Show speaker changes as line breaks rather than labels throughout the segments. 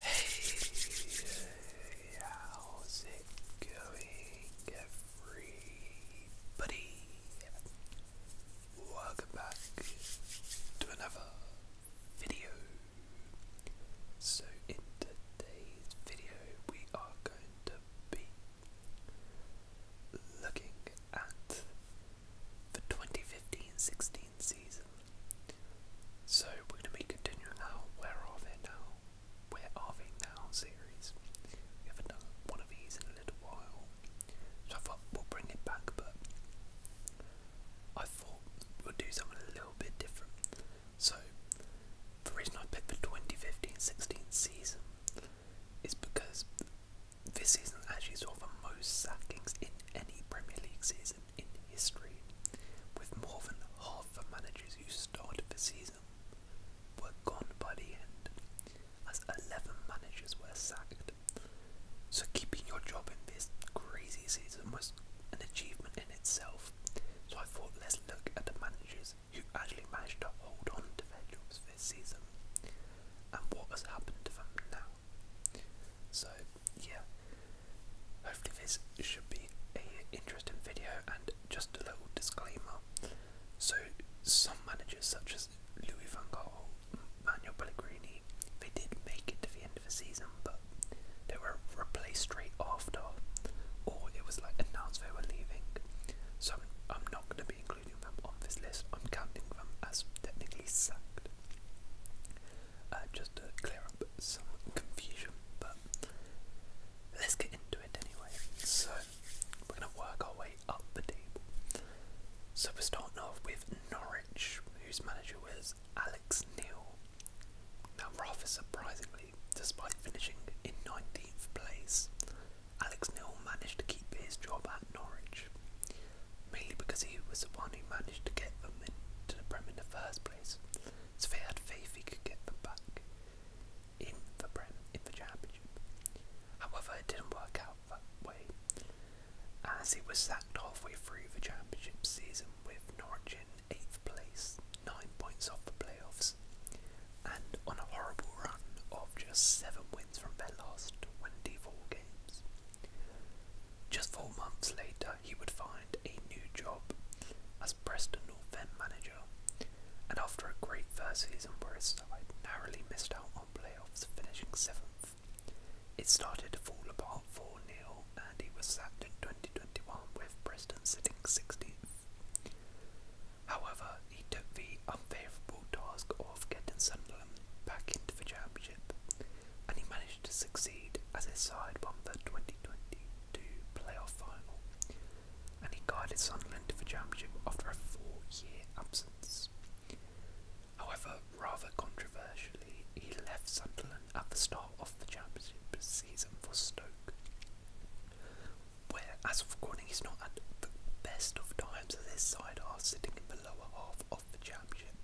Hey, how's it going, everybody? Welcome back to another video. So, in today's video, we are going to be looking at the 2015-16 season. So we're going to be continuing our Where Are They Now? Where Are They Now series. We haven't done one of these in a little while, so I thought we'll bring it back, but I thought we'll do something a little bit different. So the reason I picked the 2015-16 season is because this season actually saw the most sackings in any Premier League season in history, with more than half the managers who started the season were gone by the end, as 11 managers were sacked. So keeping your job in this crazy season was an achievement in itself. So I thought let's look at the managers who actually managed to hold on to their jobs this season and what has happened to them now. So yeah, hopefully this should be a interesting video. And just a little disclaimer: so some managers, such as Louis van Gaal, Manuel Pellegrini, they did make it to the end of the season, but they were replaced straight after, or it was like announced they were leaving. So I'm, not going to be including them on this list. I'm counting them as technically sacked. Uh, just to clear up some confusion. But let's get into it anyway. So we're going to work our way up the table. So we're starting off with Norwich, whose manager was Alex Neil. Now, rather surprisingly, despite finishing in 19th place, Alex Neil managed to keep his job at Norwich, mainly because he was the one who managed to get them into the Prem in the first place. So they had faith he could get them back in the Prem in the championship. However, it didn't work out that way, as he was sacked halfway through the championship season with Norwich in eighth place, nine points off the playoffs, and on a horrible run of just seven wins from their last 24 games. Just four months later, he would find a new job as Preston North End manager, and after a great first season where his side narrowly missed out on playoffs, finishing seventh, it started to fall apart for 0 and he was sacked in 2021 with Preston sitting 16th. However, he took the unfavourable task of getting Sunderland back into the championship, and he managed to succeed as his side won the 2022 playoff final, and he guided Sunderland to the championship after a four-year absence. However, rather controversially, he left Sunderland at the start of the championship season for Stoke, where, as of recording, he's not at the best of times as his side are sitting in the lower half of the championship,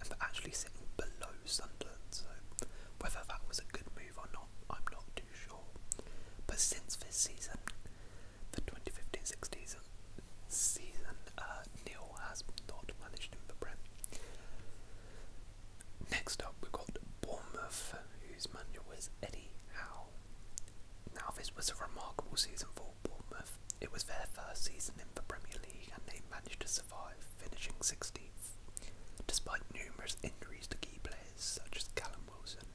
and they're actually sitting below Sunderland. Sunderland, so whether that was a good move or not, I'm not too sure. But since this season, the 2015-16 season, uh, Neil has not managed in the Prem. Next up, we've got Bournemouth, whose manager was Eddie Howe. Now, this was a remarkable season for Bournemouth. It was their first season in the Premier League and they managed to survive, finishing 16th despite numerous injuries to key players such as Callum Wilson.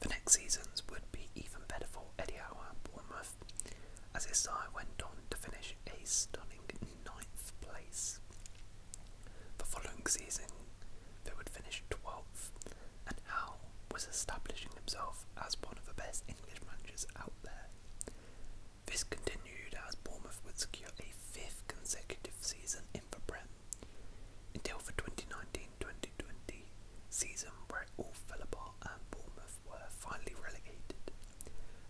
The next seasons would be even better for Eddie Howe and Bournemouth, as his side went on to finish a stunning ninth place. The following season, they would finish 12th, and Howe was establishing himself as one of the best English managers out there. This continued as Bournemouth would secure a fifth consecutive season in the Prem, until the 2019-2020 season where it all fell apart and Bournemouth were finally relegated.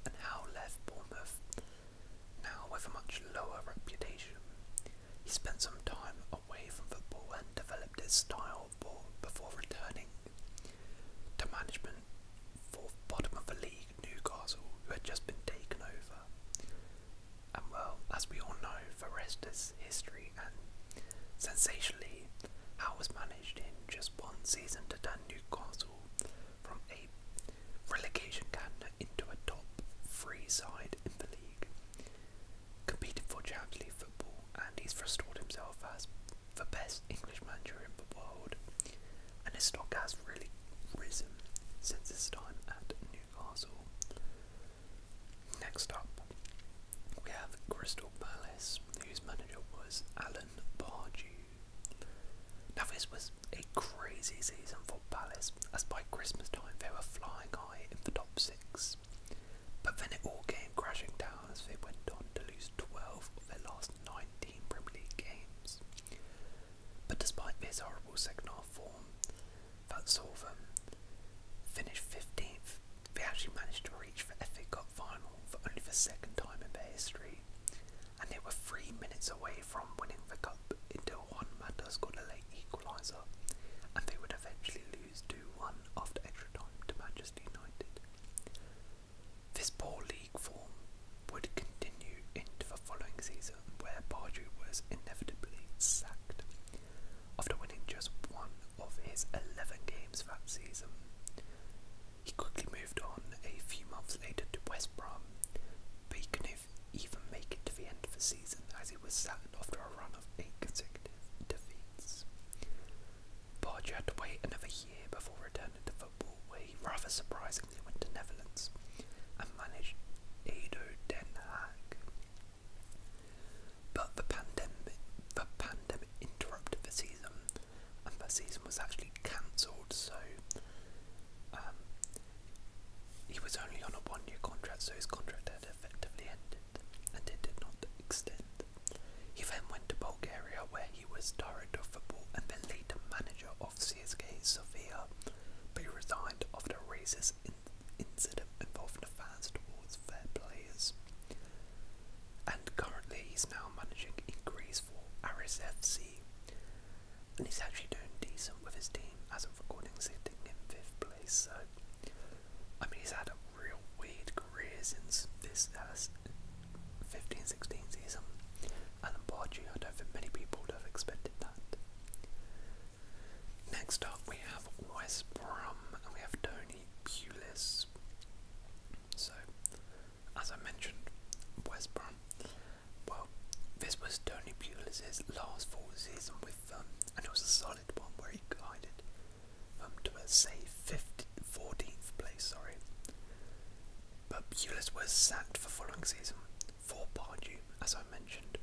And Howe left Bournemouth now with a much lower reputation. He spent some time away from football and developed his style of ball before returning to management for bottom of the league League Newcastle, who had just been taken over. And well, as we all know, Forrester's history and sensationally how was managed in just one season to turn Newcastle from a relegation candidate into a top three side in the league. Competed for Champions League football and he's restored himself as the best English manager in the world and his stock has really reason since his time at Newcastle. Next up, we have Crystal Palace, whose manager was Alan Pardew. Now, this was a crazy season for Palace, as by Christmas time they were flying high in the top six. But then it all came crashing down as they went on to lose 12 of their last 19 Premier League games. But despite this horrible second half form, that saw them finish 15th. They actually managed to reach the FA Cup final for only the second time in their history, and they were three minutes away from winning the cup until Juan Mata scored a late equaliser, and they would eventually lose 2 1 after extra time to Manchester United. This poor league form would continue into the following season, where Pardew was inevitably sacked after winning just one of his 11 games that season. He quickly moved on a few months later to West Brom, but he could even make it to the end of the season as he was sacked after a run of eight consecutive defeats. Pardew had to wait another year before returning to football, where he rather surprised they went to Netherlands and managed Edo Den Haag. But the pandemic, the pandemic interrupted the season, and the season was actually cancelled. So um, he was only on a one-year contract, so his contract had effectively ended, and it did not extend. He then went to Bulgaria, where he was director of football and then later manager of CSK Sofia but he resigned after racist incident involving fans towards their players. And currently he's now managing in Greece for Aris FC. And he's actually doing decent with his team as of recording, sitting in fifth place. So, I mean, he's had a real weird career since this uh, 15 16 season. And Alan Pardew. I don't think many people would have expected that. Next up, we have West Brom and we have Tony Pulis. So, as I mentioned, West Brom. Well, this was Tony Pulis' last four season with them, um, and it was a solid one where he guided them to a safe 50, 14th place. Sorry, but Pulis was sacked the following season, for Pardew, as I mentioned.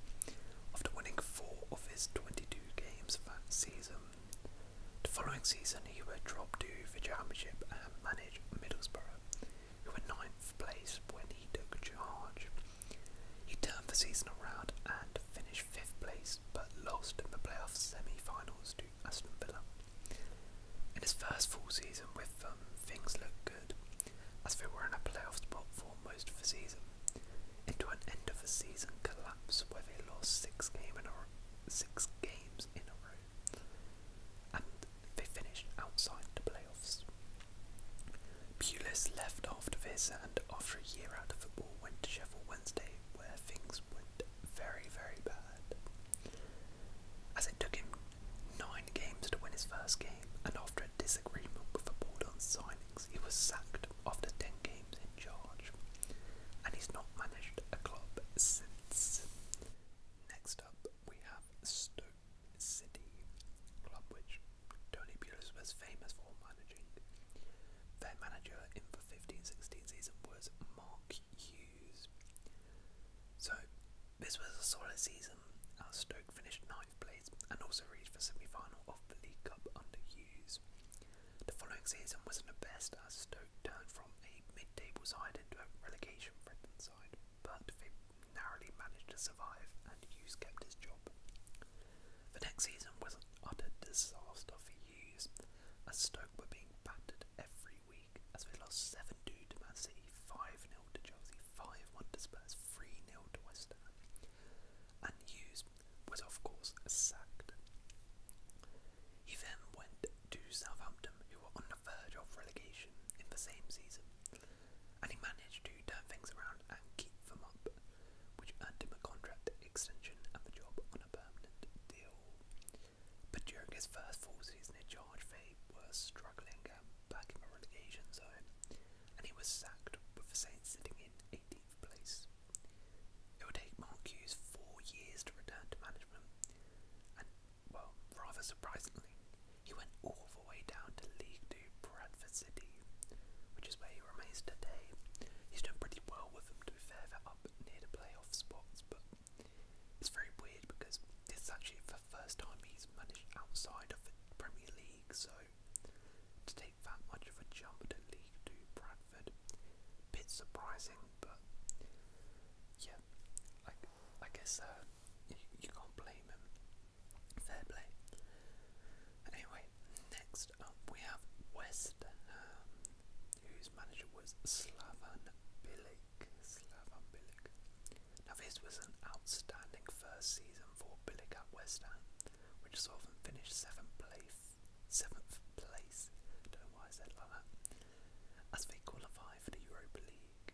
After winning four of his 22 games that season, the following season he would drop to the Championship and manage Middlesbrough, who were ninth place when he took charge. He turned the season around and finished fifth place, but lost in the playoff semi-finals to Aston Villa. In his first full season with them, things looked good as they were in a playoff spot for most of the season, into an end of the season collapse where they lost six, game in a, six games in a row, and they finished outside the playoffs. Pulis left after this, and after a year out of football, went to Sheffield Wednesday, where things went very, very bad. As it took him nine games to win his first game, and after disagreement with the board on signings, he was sacked after 10 games in charge, and he's not managed a club since. Next up, we have Stoke City, club which Tony Pulis was famous for managing. Their manager in the 15-16 season was Mark Hughes. So, this was a solid season as uh, Stoke finished ninth ninth and also reached the semi-final of the League Cup under Hughes. The following season wasn't the best as Stoke turned from a mid-table side into a relegation threatened side, but they narrowly managed to survive and Hughes kept his job. The next season was an utter disaster for Hughes as Stoke were being battered every week as they lost 7 to Man City, 5-0 to Chelsea, 5-1 to Spurs, 3-0 to West Ham. And Hughes was of course sacked. He then went to Southampton, who were on the verge of relegation in the same season, and he managed to turn things around and keep them up, which earned him a contract extension and the job on a permanent deal. But during his first full season in charge, they were struggling and back in the relegation zone, and he was sacked with the Saints sitting in 18th place. It would take Mark Hughes four years to return to management, and, well, rather surprisingly, he went all the way down to League 2 Bradford City, which is where he remains today. He's doing pretty well with them, to be fair, up near the playoff spots, but it's very weird because this is actually the first time he's managed outside of the Premier League so to take that much of a jump to League Two Bradford, bit surprising, but yeah, I, I guess uh, you, you can't blame him. Fair play. Anyway, next up we have West Ham, whose manager was Slaven Bilic. Slaven Bilic. Now this was an outstanding first season for Billick West Ham, which saw them finish seventh place. Seventh place. Don't know why I said that. As they qualified for the Europa League.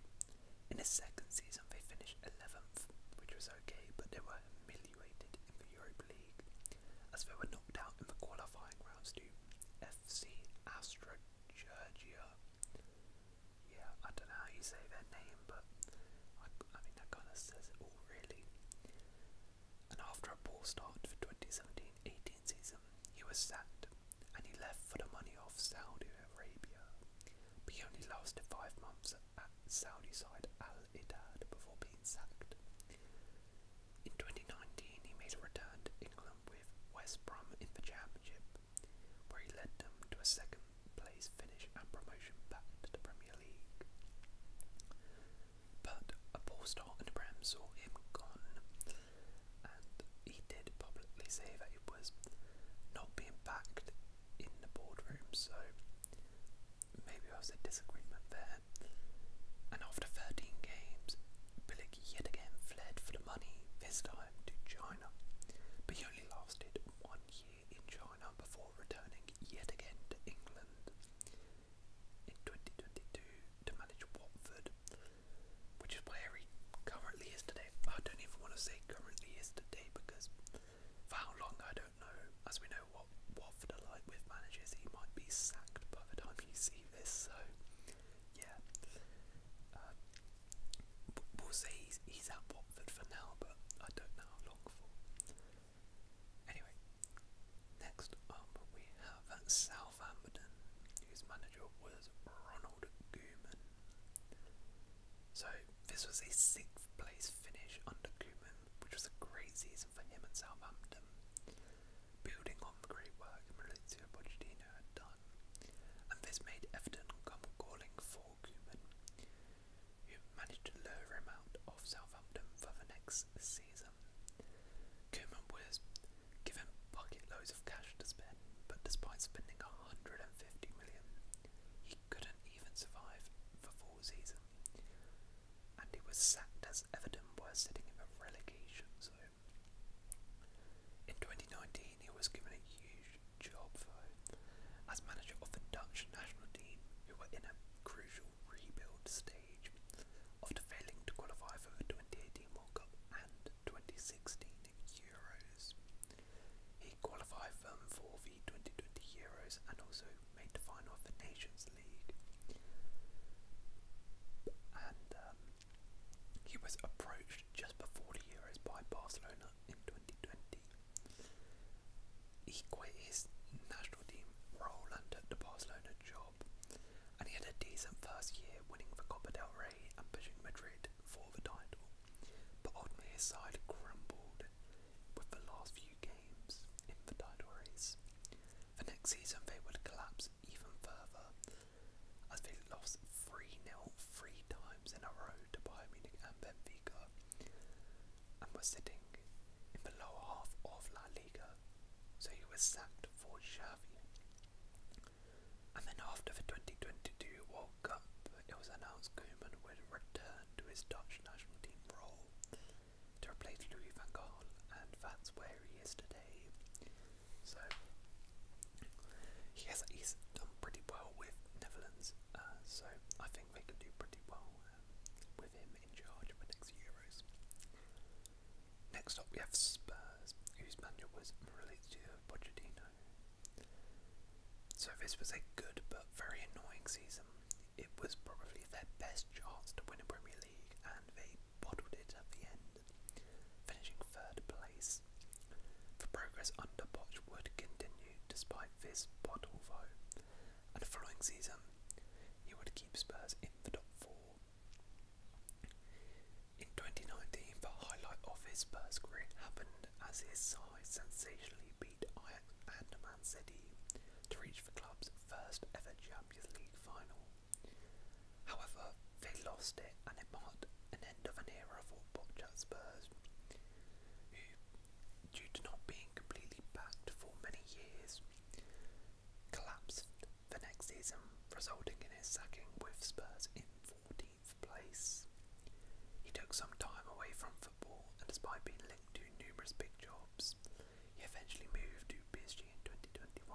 In the second season, they finished 11th, which was okay, but they were humiliated in the Europa League, as they were knocked out in the qualifying rounds to FC Astrogeorgia yeah, I don't know how you say their name, but I, I mean, that kind of says it all, really. And after a poor start for 2017-18 season, he was sacked, and he left for the money of Saudi Arabia. But he only lasted five months at Saudi side Al Ittihad before being sacked. In 2019, he made a return to England with West Brom in the Championship, where he led them to a second plays finish and promotion back to the Premier League. But a poor start in the saw him gone, and he did publicly say that it was not being backed in the boardroom, so maybe there was a disagreement there. And after 13 games, Bilic yet again fled for the money, this time to China, but he only lasted one year in China before returning yet again to England in 2022 to manage Watford, which is where he currently is today. I don't even want to say currently is today because for how long I don't know. As we know what Watford are like with managers, he might be sacked by the time you see this, so yeah. Uh, we'll say he's, he's at Watford for now, but I don't know long for. Anyway, next up we have Southampton, whose manager was Ronald Koeman. So this was his sixth place finish under Koeman, which was a great season for him at Southampton, building on the great work Maurizio Pochettino had done, and this made Everton come calling for Koeman who managed to lure him out of Southampton for the next season. Koeman was given bucket loads of cash to spend, but despite spending 150 million, he couldn't even survive the full season. And he was sacked as Everton were sitting in the relegation zone. In 2019, he was given a huge job though, as manager of the Dutch national team, who were in a crucial rebuild stage after failing to qualify for the 2018 World Cup and 2016 Euros. He qualified them for the 2020 Euros and also made the final of the Nations League. And um, he was approached just before the Euros by Barcelona in 2020 City. He quit his national team role and took the Barcelona job, and he had a decent first year winning the Copa del Rey and pushing Madrid for the title. But ultimately his side crumbled with the last few games in the title race. The next season they would collapse even further as they lost 3-0 three times in a row to Bayern Munich and Benfica and was sitting in the lower half of La Liga, so he was sacked for Xavi. And then after the 2022 World Cup, it was announced Koeman would return to his Dutch national team role to replace Louis van Gaal, and that's where he is today. So he he's done pretty well with Netherlands, uh, so I think think can do pretty well uh, with him in charge for next Euros. Next up, we have Spurs, whose manager was Maurizio Pochettino. So this was a good but very annoying season. It was probably their best chance to win a Premier League, and they bottled it at the end, finishing third place. The progress under Poch would continue despite this bottle, though, and following season he would keep Spurs in the top four. In 2019, the highlight of his Spurs career happened as his side sensationally beat and Man City to reach the club's first ever Champions League final. However, they lost it and it marked an end of an era for Boca Spurs, due to not being completely backed for many years, collapsed the next season, resulting in his sacking with Spurs in 14th place. He took some time away from football, and despite being linked to numerous big jobs, he eventually moved to PSG in 2021.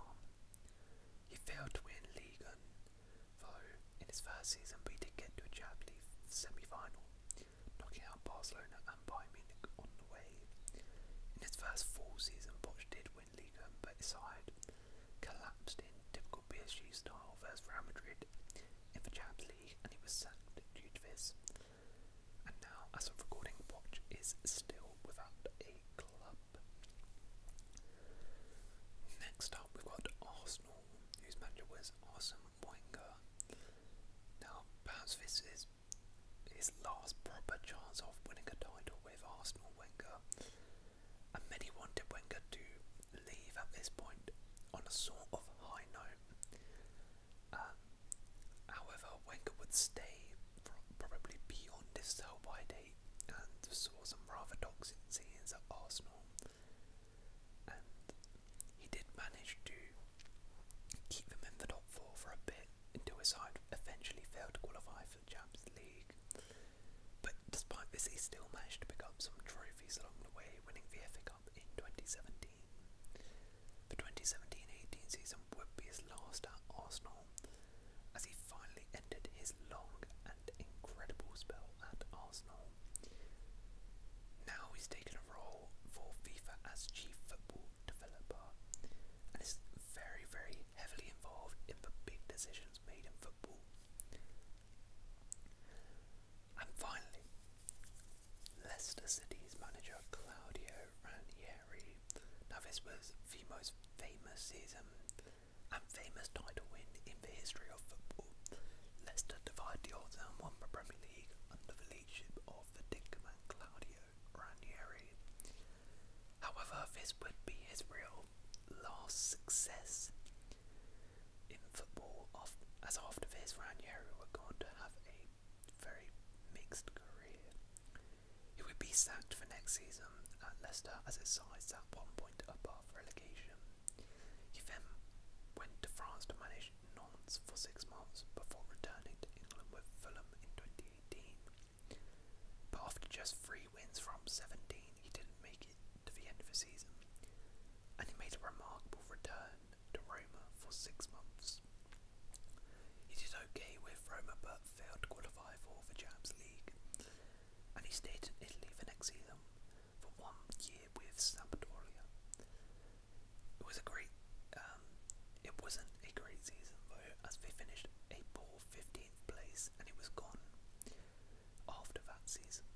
He failed to win Ligue 1, though in his first season, we he did get to a Champions League semi-final, knocking out Barcelona and Bayern Munich on the way. In his first full season, Poch did win Liga, but his side collapsed in typical PSG style versus Real Madrid in the Champions League, and he was sacked due to this. And now, as of recording, Poch is still without a club. Next up, we've got Arsenal, whose manager was Arsene Wenger. Now, perhaps this is his last proper chance of winning a title with Arsenal Wenger. And many wanted Wenger to leave at this point on a sort of high note. Um, however, Wenger would stay probably beyond this sell by date and saw some rather toxic scenes at Arsenal. He did manage to keep them in the top four for a bit until his side eventually failed to qualify for the Champions League. But despite this, he still managed to pick up some trophies along the way, winning the FA Cup in 2017. The 2017-18 season would be his last at Arsenal, as he finally ended his long and incredible spell at Arsenal. Now he's taken a role for FIFA as chief football developer and is very, very heavily involved in the big decisions made in football. And finally, Leicester City's manager Claudio Ranieri. Now, this was the most famous season and famous title win in the history of football. Leicester divided the odds and won the Premier League under the leadership of the Tinkerman Claudio Ranieri. However, this would be his real last success in football, as after this, Ranieri were going to have a very mixed career. He would be sacked for next season at Leicester as his side sat one point above relegation. He then went to France to manage Nantes for six months before returning to England with Fulham in 2018. But after just three wins from 17, he didn't make it to the end of the season, and he made a remarkable return to Roma for six months. He did okay with Roma but failed to qualify for the Champions League, and he stayed in Italy for next season for one year with Sampdoria. It was a great. Um, it wasn't a great season though, as they finished a 15th place, and it was gone after that season.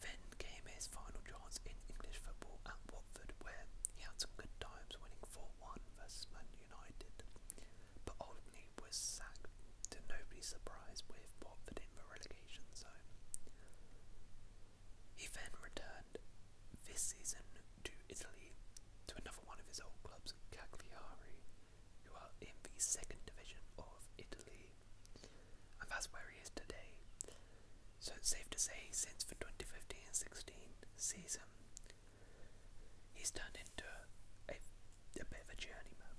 Then came his final chance in English football at Watford, where he had some good times, winning 4-1 versus Man United, but ultimately was sacked to nobody's surprise with Watford in the relegation zone. He then returned this season to Italy to another one of his old clubs, Cagliari, who are in the second division of Italy. And that's where he is today. So it's safe to say, since the 2015-16 season, he's turned into a, bit of a journeyman.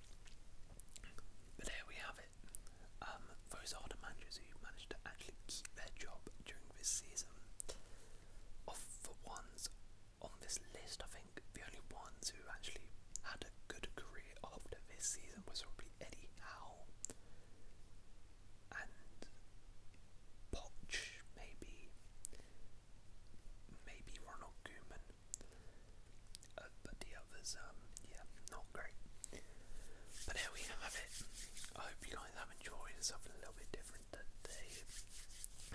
But there we have it. Um, those older managers who managed to actually keep their job during this season. Of the ones on this list, I think the only ones who actually had a good career after this season was probably Eddie Howe and Potch, maybe, maybe Ronald Koeman. Uh, but the others, um, yeah, not great. But there we have it. I hope you I guys have enjoyed something a little bit different today.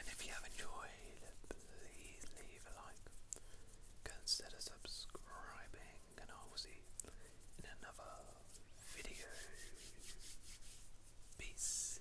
And if you have enjoyed, please leave a like. Consider subscribing, and I will see you in another video. Peace.